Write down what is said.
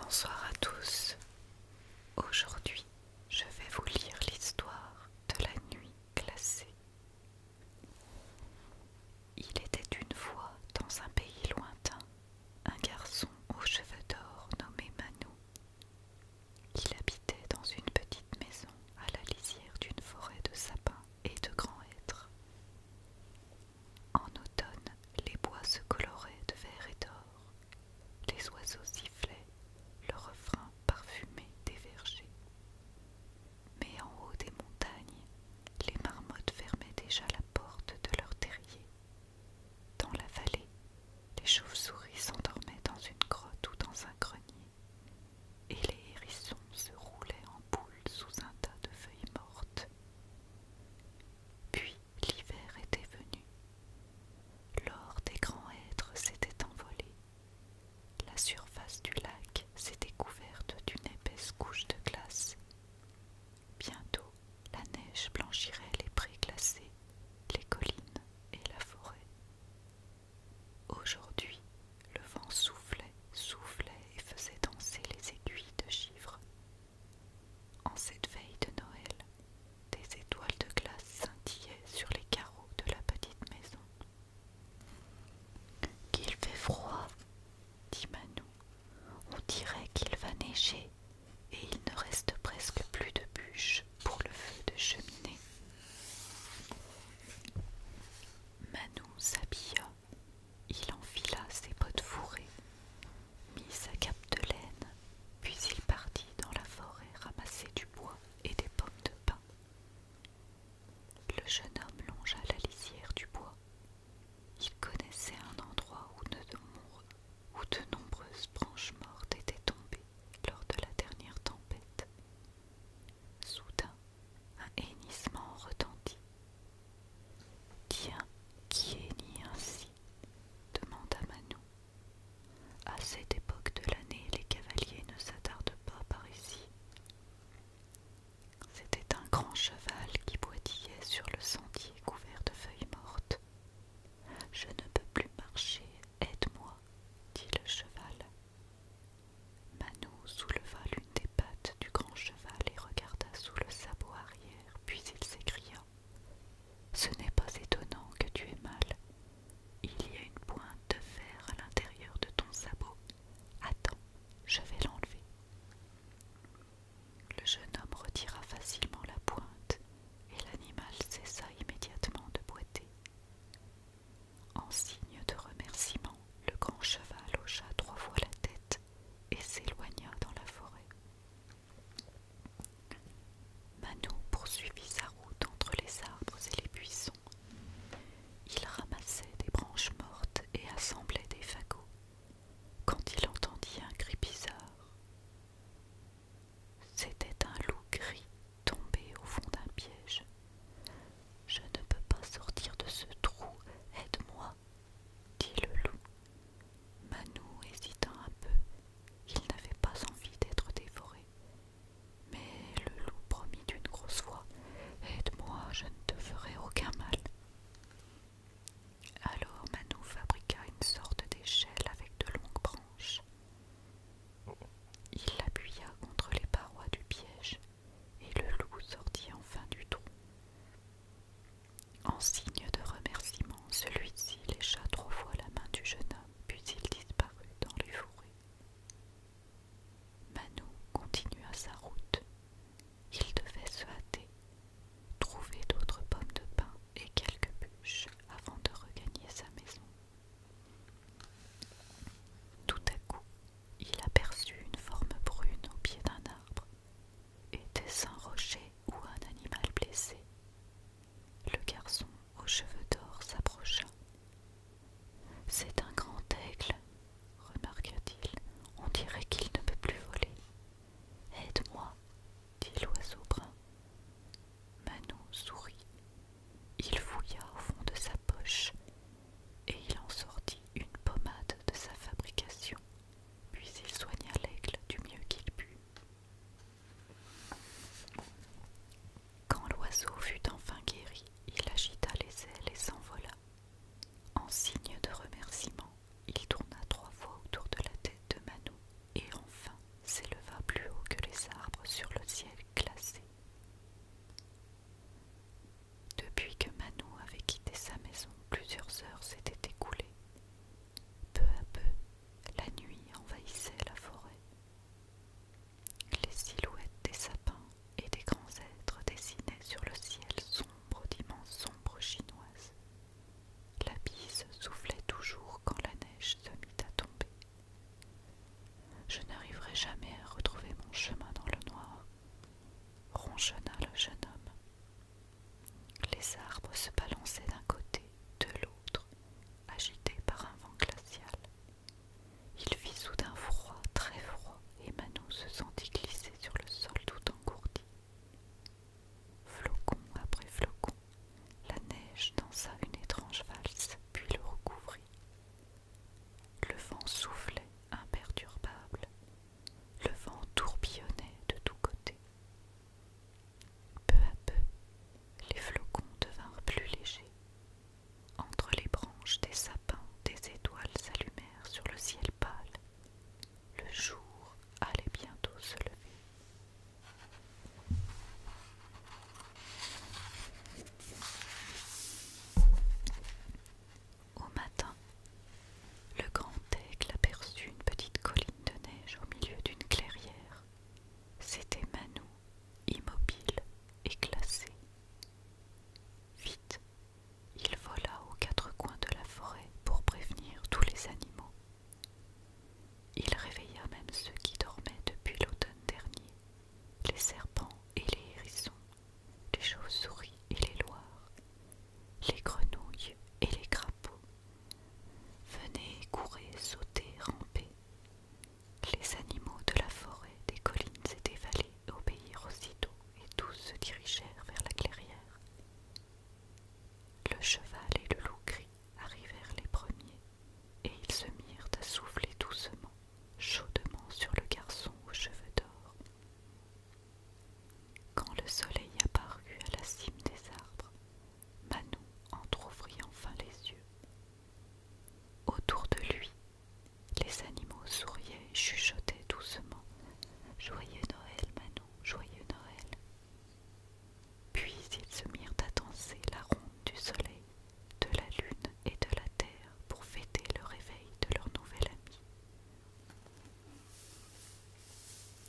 Bonsoir à tous. Aujourd'hui, je vais vous lire l'histoire de la nuit glacée. Il était une fois dans un pays lointain un garçon aux cheveux d'or nommé Manou il habitait dans une petite maison à la lisière d'une forêt de sapins et de grands hêtres. En automne, les bois se coloraient de vert et d'or, les oiseaux sifflaient, le refrain parfumé des vergers. Mais en haut des montagnes, les marmottes fermaient déjà la porte de leur terrier dans la vallée, les chauves-souris s'endormaient dans une grotte ou dans un grenier, et les hérissons se roulaient en boules sous un tas de feuilles mortes. Puis l'hiver était venu. L'or des grands êtres s'était envolé. La surface du lac s'était couverte d'une épaisse couche de glace. Bientôt, la neige blanchirait les prés glacés, les collines et la forêt. Aujourd'hui, le vent soufflait, soufflait et faisait danser les aiguilles de givre. En cette veille de Noël, des étoiles de glace scintillaient sur les carreaux de la petite maison. Qu'il fait froid, dit Manon. On dirait qu'il va neiger et il ne reste presque plus de bûches pour le feu de cheminée. Manou s'habilla, il enfila ses bottes fourrées, mit sa cape de laine, puis il partit dans la forêt ramasser du bois et des pommes de pin. Le jeune homme longea la lisière du bois. Il connaissait un endroit où ne, où de nombreuses branches mortes étaient tombées lors de la dernière tempête. Soudain, un hennissement retentit. Tiens, qui hennit ainsi demanda Manon. À cette époque de l'année, les cavaliers ne s'attardent pas par ici. C'était un grand cheval qui boitillait sur le sentier couvert de feuilles mortes. Je ne peux plus marcher, aide-moi, dit le cheval. Manon souleva l'une des pattes du grand cheval et regarda sous le sabot arrière, puis il s'écria. Ce n'est pas étonnant que tu aies mal. Il y a une pointe de fer à l'intérieur de ton sabot. Attends, je vais l'enlever. Le jeune homme retira facilement la pointe et l'animal cessa immédiatement de boiter. En signe de remerciement, le grand cheval hocha trois fois la tête et s'éloigna dans la forêt. Manon poursuivit sa route entre les arbres et les buissons. Il ramassait des branches mortes et assemblait des fagots, quand il entendit un cri bizarre. C'était un loup gris tombé au fond d'un piège. Je ne peux pas sortir de ce trou, aide-moi, dit le loup. Manou hésitant un peu, il n'avait pas envie d'être dévoré. Mais le loup promit d'une grosse voix Aide-moi, je ne te ferai aucun mal. Alors Manou fabriqua une sorte d'échelle avec de longues branches. Il l'appuya contre les parois du piège et le loup sortit enfin du trou. En signe de remerciement, celui-ci lécha trois fois la main du jeune homme, puis il disparut dans les fourrés. Manou continua sa route. Il devait se hâter, trouver d'autres pommes de pain et quelques bûches avant de regagner sa maison. Tout à coup, il aperçut une forme brune au pied d'un arbre. Était-ce un rocher ou un animal blessé Le garçon aux cheveux d'or s'approcha c'est un grand aigle, remarqua-t-il. On dirait qu'il ne peut plus voler. Aide-moi, dit l'oiseau brun. Manon sourit. Il fouilla au fond de sa poche et il en sortit une pommade de sa fabrication. Puis il soigna l'aigle du mieux qu'il put. Quand l'oiseau fut enfin guéri, il agita les ailes et s'envola. En signe de remerciement, il tourna trois fois autour de la tête de Manou et enfin s'éleva plus haut que les arbres sur le ciel glacé. Depuis que Manou avait quitté sa maison, plusieurs heures s'étaient écoulées. Peu à peu, la nuit envahissait la forêt. Les silhouettes des sapins et des grands êtres dessinaient sur le ciel sombre d'immenses ombres chinoises. La bise soufflait toujours quand la neige se mit à tomber. Je n'arriverai jamais à retrouver mon chemin dans le noir, ronchonna le jeune homme. Les arbres se balançaient d'un côté, de l'autre, agités par un vent glacial. Il vit soudain froid, très froid, et Manon se sentit glisser sur le sol tout engourdi. Flocon après flocon, la neige dansa une étrange valse, puis le recouvrit. Le vent soufflait, imperturbable. Le vent tourbillonnait de tous côtés. Peu à peu, les flocons devinrent plus légers, entre les branches des sapins, des étoiles s'allumèrent sur le ciel pâle. Le jour allait bientôt se lever. Au matin, le grand aigle aperçut une petite colline de neige au milieu d'une clairière. C'était Manou immobile et classé. Vite, il vola aux quatre coins de la forêt pour prévenir tous les animaux. Il réveilla même ceux qui dormaient depuis l'automne dernier, les serpents et les hérissons, les chauves-souris et les loirs, les grenouilles et les crapauds. Venez, courez, sauter, ramper, les animaux de la forêt, des collines et des vallées obéirent aussitôt et tous se dirigèrent vers la clairière. Le cheval et le loup gris arrivèrent les premiers et ils se mirent à souffler doucement, chaudement sur le garçon aux cheveux d'or. Quand le soleil apparut à la cime des arbres, Manon entr'ouvrit enfin les yeux. Autour de lui, les animaux souriaient, chuchotaient doucement. Joyeux Noël, Manon, joyeux Noël. Puis ils se mirent à danser la ronde du soleil, de la lune et de la terre pour fêter le réveil de leur nouvel ami.